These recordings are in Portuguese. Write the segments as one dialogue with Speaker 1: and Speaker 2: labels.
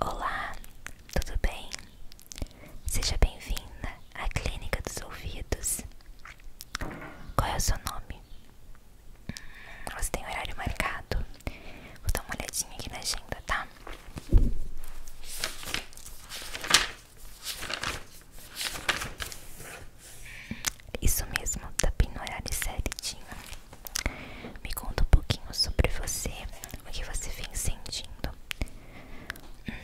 Speaker 1: Olá, tudo bem? Seja bem-vinda à Clínica dos Ouvidos. Qual é o seu nome? Hum, você tem horário marcado? Vou dar uma olhadinha aqui na agenda, tá? Isso mesmo, tá bem no horário certinho. Me conta um pouquinho sobre você, o que você vem sentindo. Hum,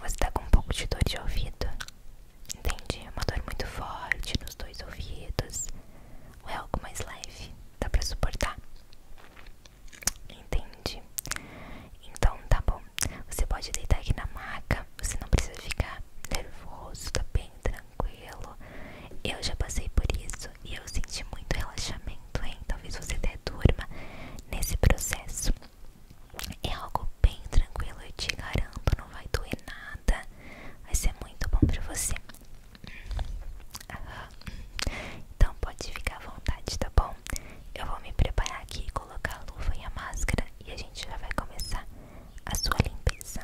Speaker 1: você tá com um pouco de dor de ouvido? Entendi, é uma dor muito forte nos dois ouvidos. Ou é algo mais leve? Dá pra suportar? Entendi. Então tá bom. Você pode deitar aqui na maca. Você não precisa ficar nervoso, tá bem tranquilo tranquilo. Eu já passei por isso e eu senti muito relaxamento, hein? Talvez você até durma nesse processo. É algo bem tranquilo, eu te garanto, não vai doer nada. Vai ser muito bom pra você. Então pode ficar à vontade, tá bom? Eu vou me preparar aqui, colocar a luva e a máscara e a gente já vai começar a sua limpeza.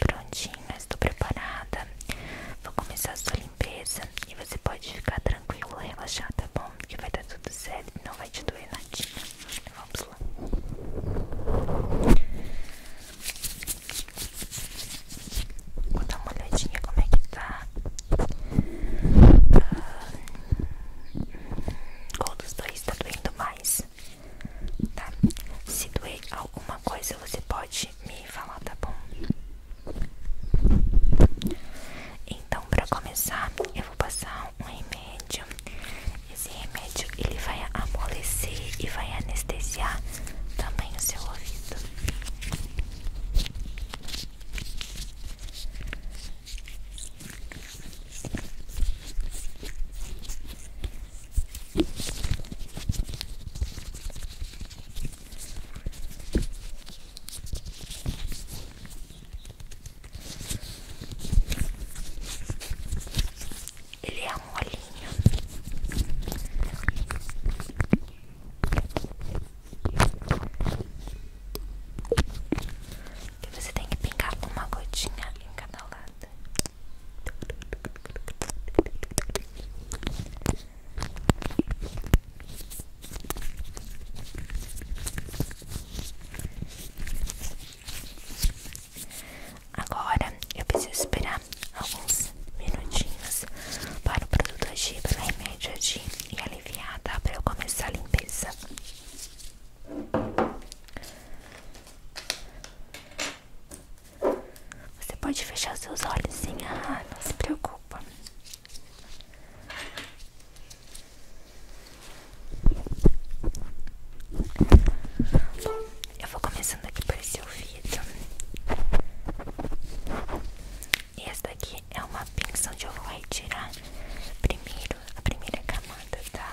Speaker 1: Prontinho, estou preparada. Vou começar a sua limpeza e você pode ficar tranquilo, relaxar, tá bom? Que vai dar tudo certo e não vai te doer nadinha. Vamos lá. Vou dar uma olhadinha como é que tá qual dos dois está doendo mais? Tá. Se doer alguma coisa, você pode me falar, tá bom? Então, para começar, eu vou passar um remédio. Esse remédio ele vai amolecer e vai anestesiar também o seu ouvido. Ele é um olhinho você tem que pingar uma gotinha em cada lado. Agora eu preciso esperar alguns minutinhos para o produto agir, para o remédio agir e aliviar, tá? Para eu começar a limpeza. Você pode fechar seus olhos, sim? Ah, não se preocupa. Eu vou começando aqui por esse ouvido. E essa daqui é uma pinça onde eu vou retirar primeiro a primeira camada, tá?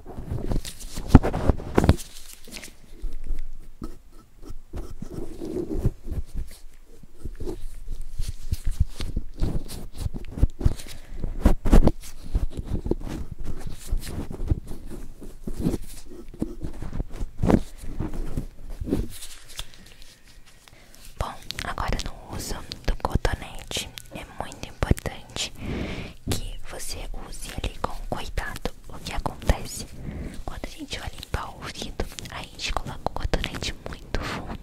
Speaker 1: Bom, agora não uso do cotonete é muito importante que você use ele com cuidado. O que acontece? Quando a gente vai limpar o ouvido, a gente coloca o cotonete muito fundo.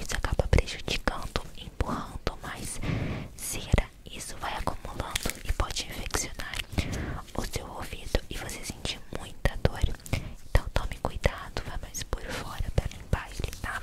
Speaker 1: Isso acaba prejudicando, empurrando mais cera. Isso vai acumulando e pode infeccionar o seu ouvido e você sentir muita dor. Então tome cuidado, vai mais por fora para limpar ele, tá?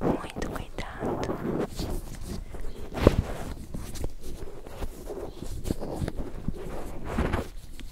Speaker 1: Muito cuidado.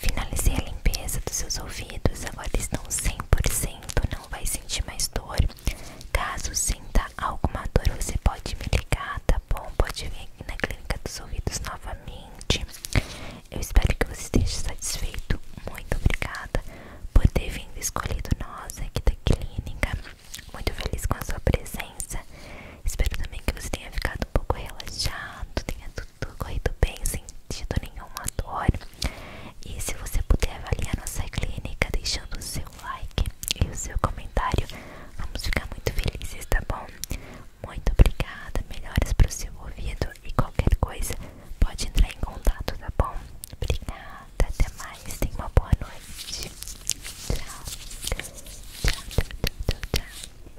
Speaker 1: Finalizei a limpeza dos seus ouvidos, agora estão 100%, não vai sentir mais dor. Caso sinta alguma dor, você pode me ligar, tá bom? Pode vir aqui na clínica dos ouvidos novamente. Eu espero que você esteja satisfeito. Muito obrigada por ter vindo escolhido nós aqui da clínica. Muito feliz com a sua presença. Espero também que você tenha ficado um pouco relaxado, tenha tudo corrido bem, sem sentido nenhuma dor. E se você puder avaliar nossa clínica deixando o seu like e o seu comentário, vamos ficar muito felizes, tá bom? Muito obrigada, melhores para o seu ouvido e qualquer coisa pode entrar em contato, tá bom? Obrigada, até mais, tenha uma boa noite. Tchau. Tchau, tchau, tchau, tchau.